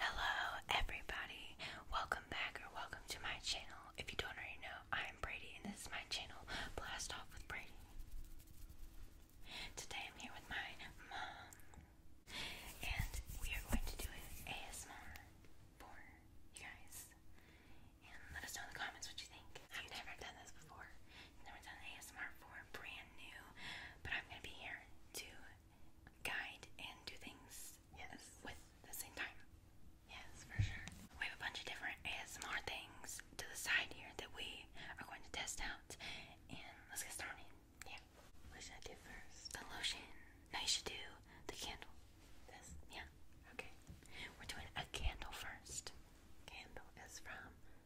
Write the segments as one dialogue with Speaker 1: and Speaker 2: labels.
Speaker 1: Hello, everybody. Welcome back or welcome to my channel. If you don't already know, I am Brady, and this is my channel, Blast Off with Brady. Today I'm here with my mom, and we are going to do ASMR for you guys. And let us know in the comments what you think. I've never done this before, never done ASMR for brand new, but I'm gonna be here to guide and do things yes. with the same time. Yes, for sure. We have a bunch of different ASMR things to the side here that we are going to test out, and let's get started. Yeah. What should I do first? The lotion. No, you should do the candle. This? Yeah. Okay. We're doing a candle first. Candle is from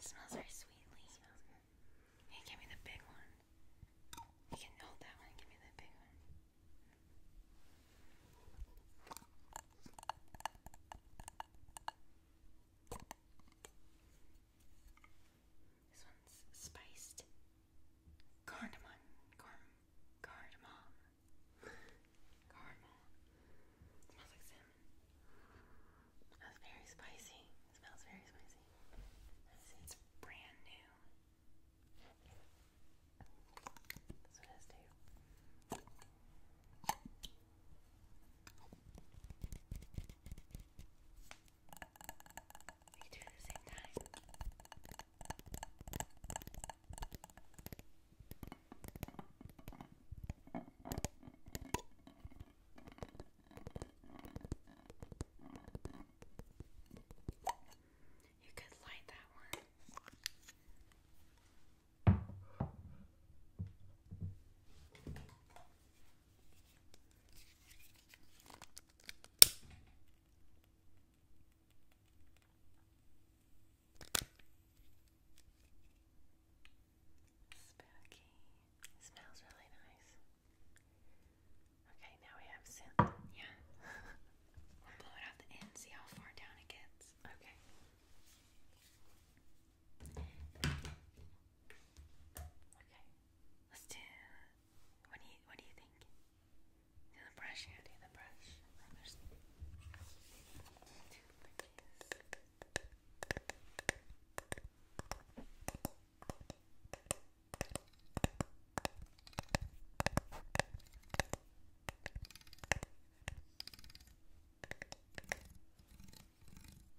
Speaker 1: smells very sweetly. Hey, give me the big one. You can hold that one. Give me the big one. This one's spiced cardamom, carm, cardamom, cardamom. smells like cinnamon. That's very spicy. smells very spicy. This is brand new. This one has too. We do it at the same time. You could light that one. Spooky. It smells really nice. Okay, now we have scent. Yeah. we'll blow it out the end, see how far down it gets. Okay. Okay, let's do. What do you What do you think? Do the brush Do the brush.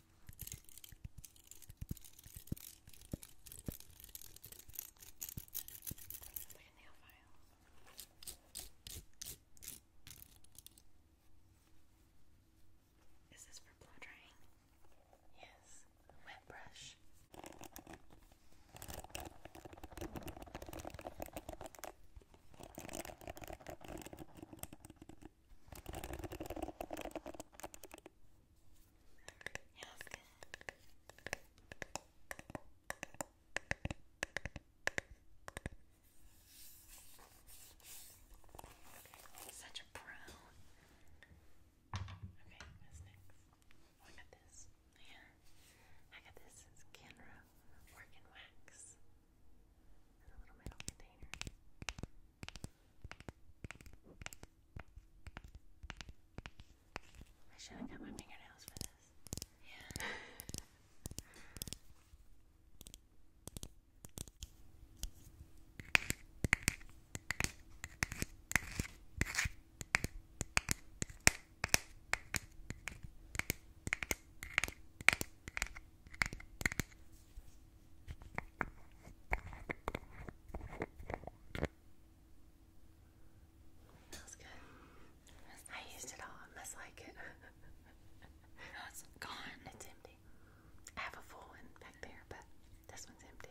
Speaker 1: Look at Is this for blow drying? Yes, wet brush. Yeah, that's Such a pro. Okay, what's next? Oh, I got this. Yeah. I got this. It's Canra Work Wax. In a little metal container. I should have cut my fingernails for this. Yeah. Smells good. I used it all. I must like it. it's gone. It's empty. I have a full one back there, but this one's empty.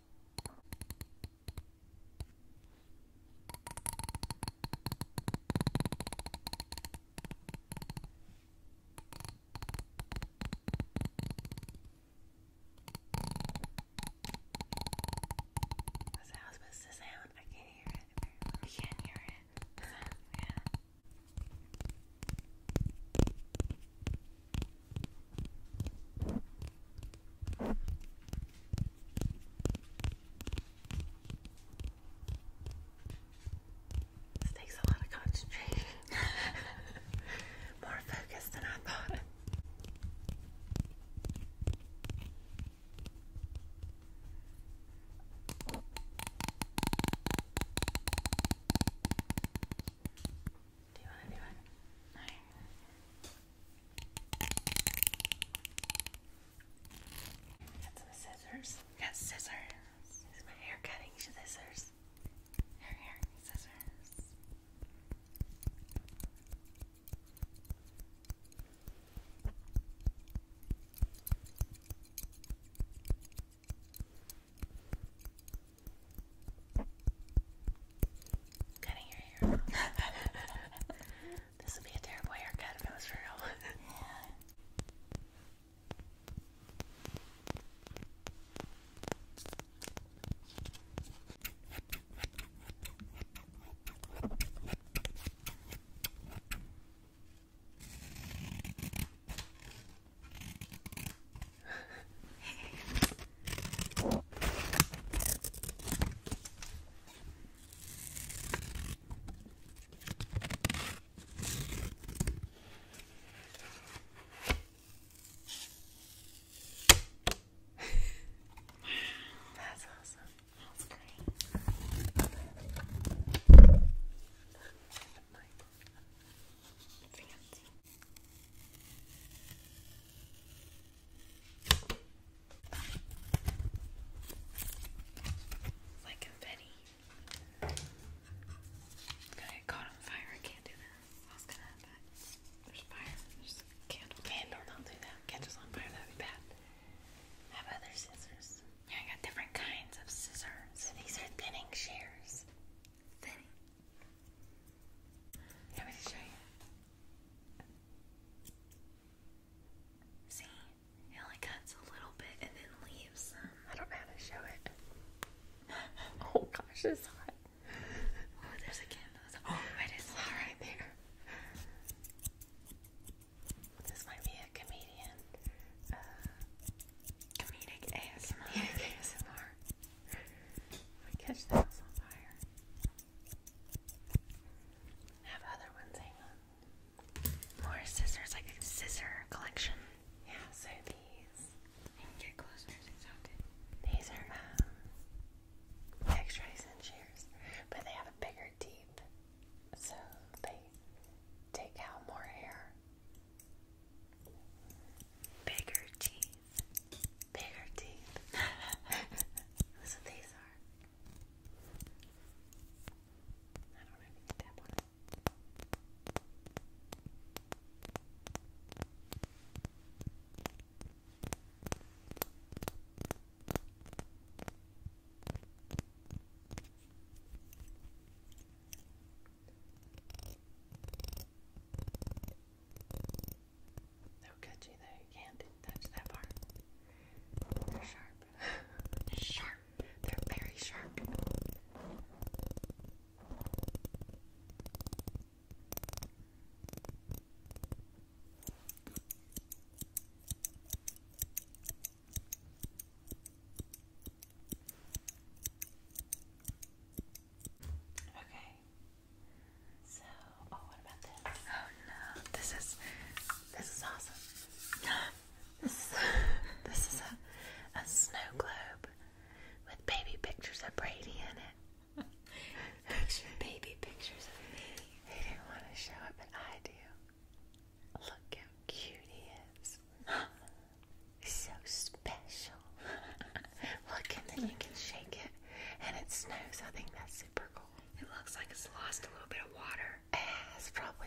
Speaker 1: That's how it's supposed to sound. I can't hear it. You can't hear it. yeah. This takes a lot of concentration. More focus than I thought. Do you want to do it? No. Got some scissors. Got scissors. is my hair cutting scissors. Hair, hair, scissors. Cutting your hair. this would be a terrible haircut if it was real. yeah. That's awesome. That's great. Fancy. It's like confetti. going caught on fire. I can't do that. I was gonna There's fire. There's a not do that. Candles on fire, that'd be bad. I have other scissors. Yeah, I got different kinds of scissors. These are thinning shears. Thinning. Let me show you. See, it only cuts a little bit and then leaves some. I don't know how to show it. oh gosh, it's hot. Oh, there's a candle. Oh, it is hot right there. This might be a comedian. Uh, comedic ASMR. I catch the house on fire. have other ones, hang on. More scissors, like scissor collection. Yeah, so these. These are um, x-rays and shears, but they have a bigger deep, so they take out more air. Bigger teeth. Bigger teeth. That's these are. I don't know if you can tap They'll cut you though. You can't touch that part. They're sharp. sharp. They're very sharp. Okay. So, oh, what about this? Oh no, this is this is awesome. this is a, this is a a snow globe with baby pictures of Brady in it. baby pictures of me. They didn't want to show it, but I do. Look how cute he is. so special. Look, and then you can shake it, and it snows. I think that's super cool. It looks like it's lost a little bit of water. Yeah, oh, it's probably.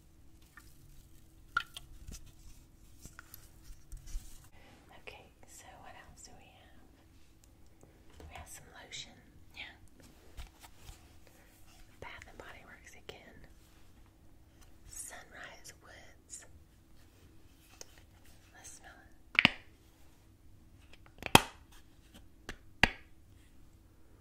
Speaker 1: Okay, so what else do we have? We have some lotion, yeah. Bath and Body Works again. Sunrise Woods. Let's smell it.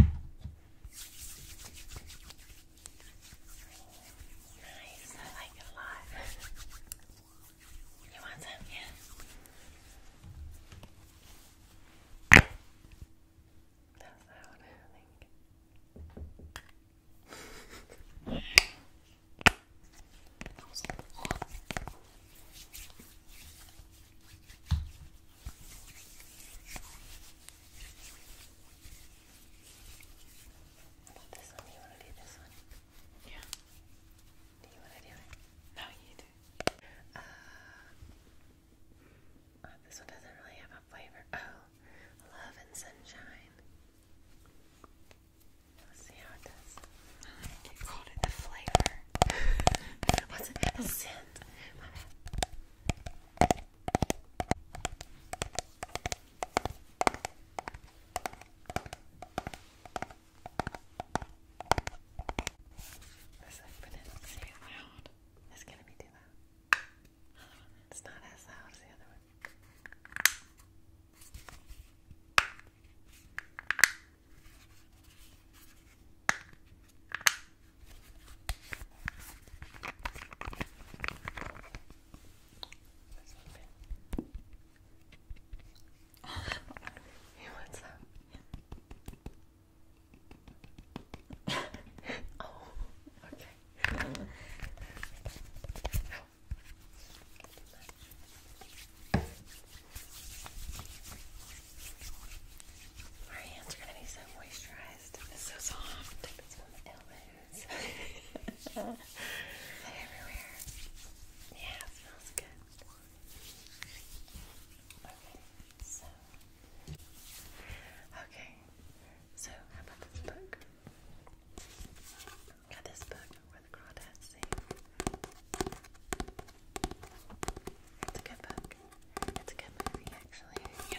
Speaker 1: Nice, I like it a lot. you want some? Yeah. That's loud, I think. That was this one, you want to do this one? Yeah. Do you want to do it? No, you do. Uh, oh, this one doesn't really have a flavor. Oh, love and sunshine. Let's see how it does. You called it the flavor. What's it? The scent. This is but it's too loud. It's gonna be too loud. It's not as loud as the other one. All hey, what's up? oh, okay. Our hands are gonna be so moisturized. It's so soft. everywhere. Yeah, smells good. Okay, so. how about this book? Got this book where the It's a good book. It's a good movie, actually.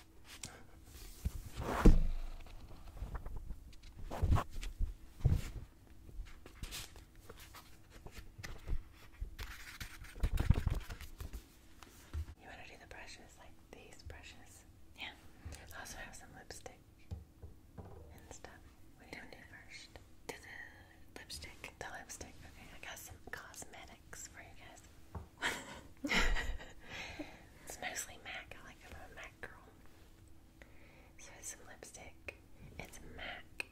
Speaker 1: You want to do the brushes like these brushes? Yeah. also have some lipstick and stuff. What do you do first? Do the lipstick. The lipstick. Okay, I got some cosmetics for you guys. it's mostly MAC. I like a MAC girl. So some lipstick. It's MAC.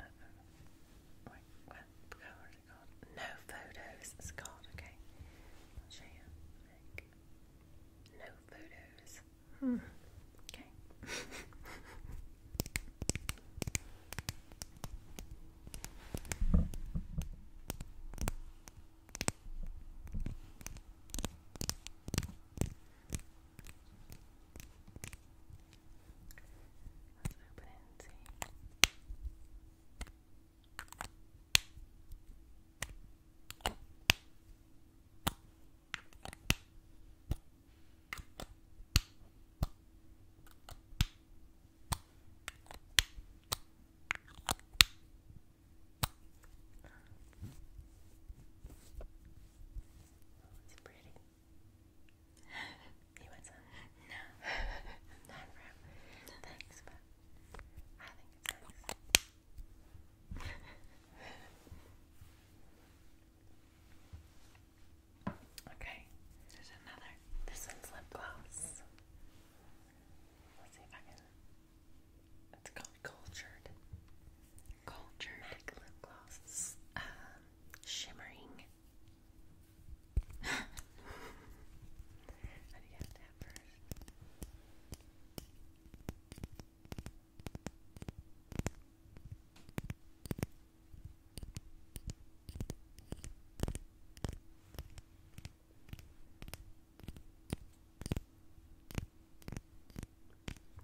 Speaker 1: Uh, no photos. It's Okay. I'll show you. MAC. No photos. Hmm. Okay. Let's open it and see. Okay. Oh, it's pretty. you want some? No. Thanks, but I think it's nice. okay. There's another. This one's lip gloss. Let's see if I can. It's called Cultured. Cultured lip gloss. Um, shimmering. How do you have that first? Do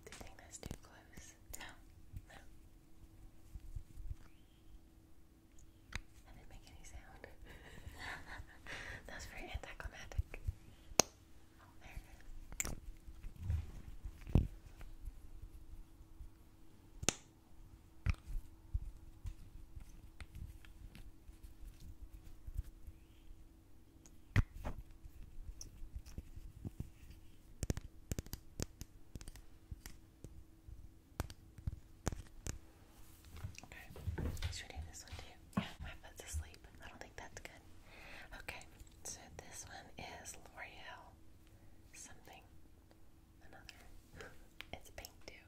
Speaker 1: you think that's too close? No, no. That didn't any sound. that was very anticlimactic. Oh, Okay. Should we do this one too? Yeah, my foot's asleep. I don't think that's good. Okay, so this one is L'Oreal something. Another. it's pink too.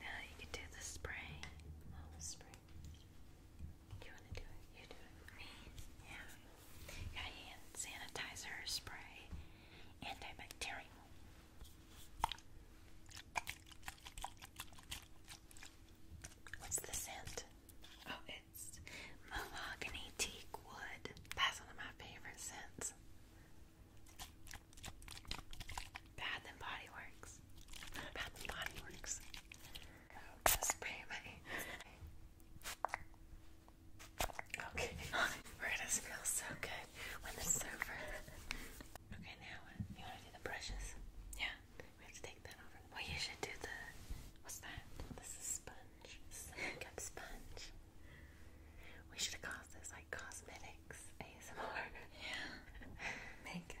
Speaker 1: Now you can do the spray. the spray. you want to do it? You do it me. Yeah. Got hand sanitizer spray. Antibacterial. What's the scent? Oh, it's mahogany teak wood. That's one of my favorite scents. Bath and Body Works. Bath and Body spray my. Okay, we're gonna so good when this is Okay, now uh, you wanna do the brushes? Yeah. We have to take that over. Well, you should do the. What's that? This is sponge. This sponge. We should have this like cosmetics ASMR. Yeah. makeup.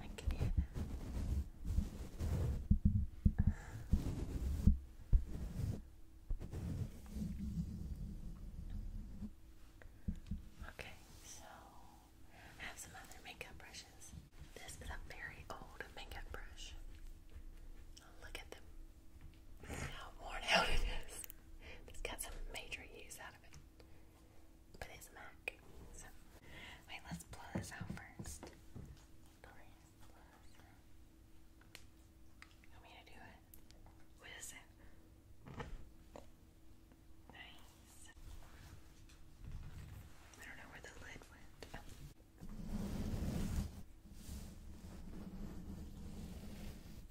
Speaker 1: I can Okay, so I have some other makeup brushes. This is a very old makeup brush. Look at them worn out it is. It's got some major use out of it. But it's Mac. So, wait, let's blow this out first. You want me to do it? What is it? Nice. I don't know where the lid went.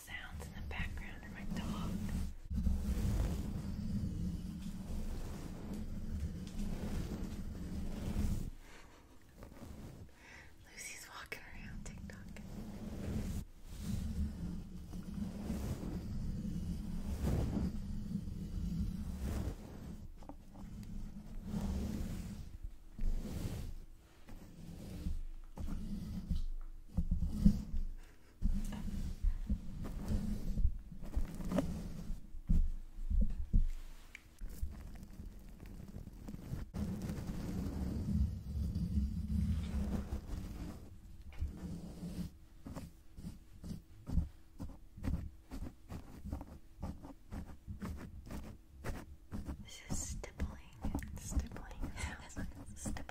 Speaker 1: sounds in the background are my dog. Lucy's walking around TikTok. This is stippling. Stippling.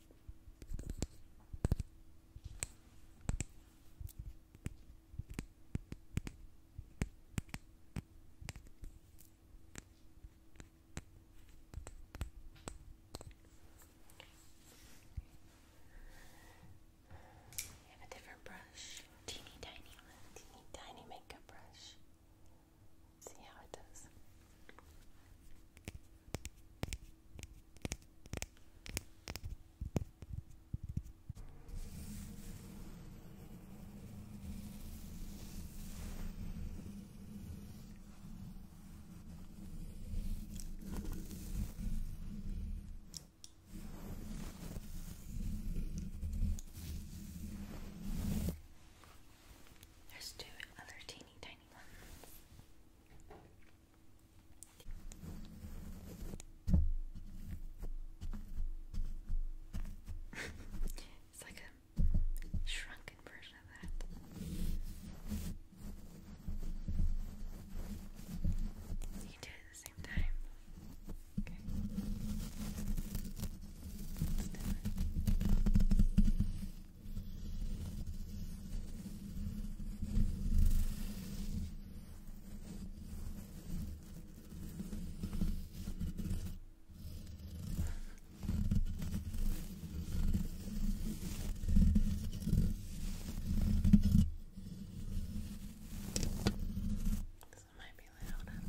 Speaker 1: I have a different brush, teeny tiny teeny tiny makeup brush. Let's see how it does. There's two other teeny tiny ones it's like a shrunken version of that. You do it the same time. Okay. This might be loud, I don't know.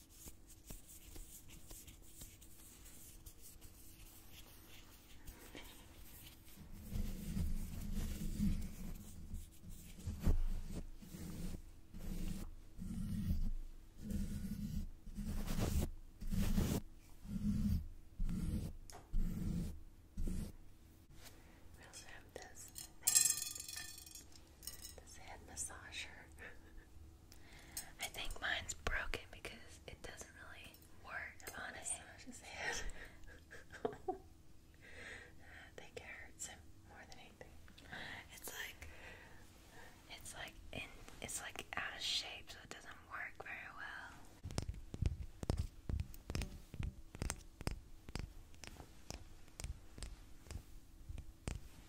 Speaker 1: We also have this thing, this head massager. I think mine's broken because it doesn't really work on it. His head. I think it hurts more than anything. It's like it's like in it's like out of shape, so it doesn't work very well.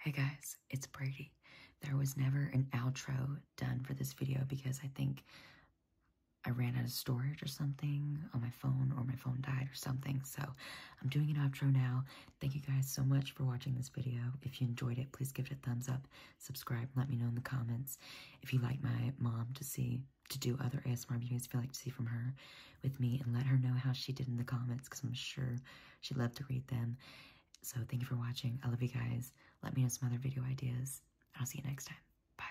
Speaker 1: Hey guys, it's Brady. There was never an outro done for this video because I think I ran out of storage or something on my phone or my phone died or something. So I'm doing an outro now. Thank you guys so much for watching this video. If you enjoyed it, please give it a thumbs up subscribe. Let me know in the comments if you like my mom to see, to do other ASMR videos, if you like to see from her with me, and let her know how she did in the comments, because I'm sure she'd love to read them. So thank you for watching. I love you guys. Let me know some other video ideas. I'll see you next time. Bye.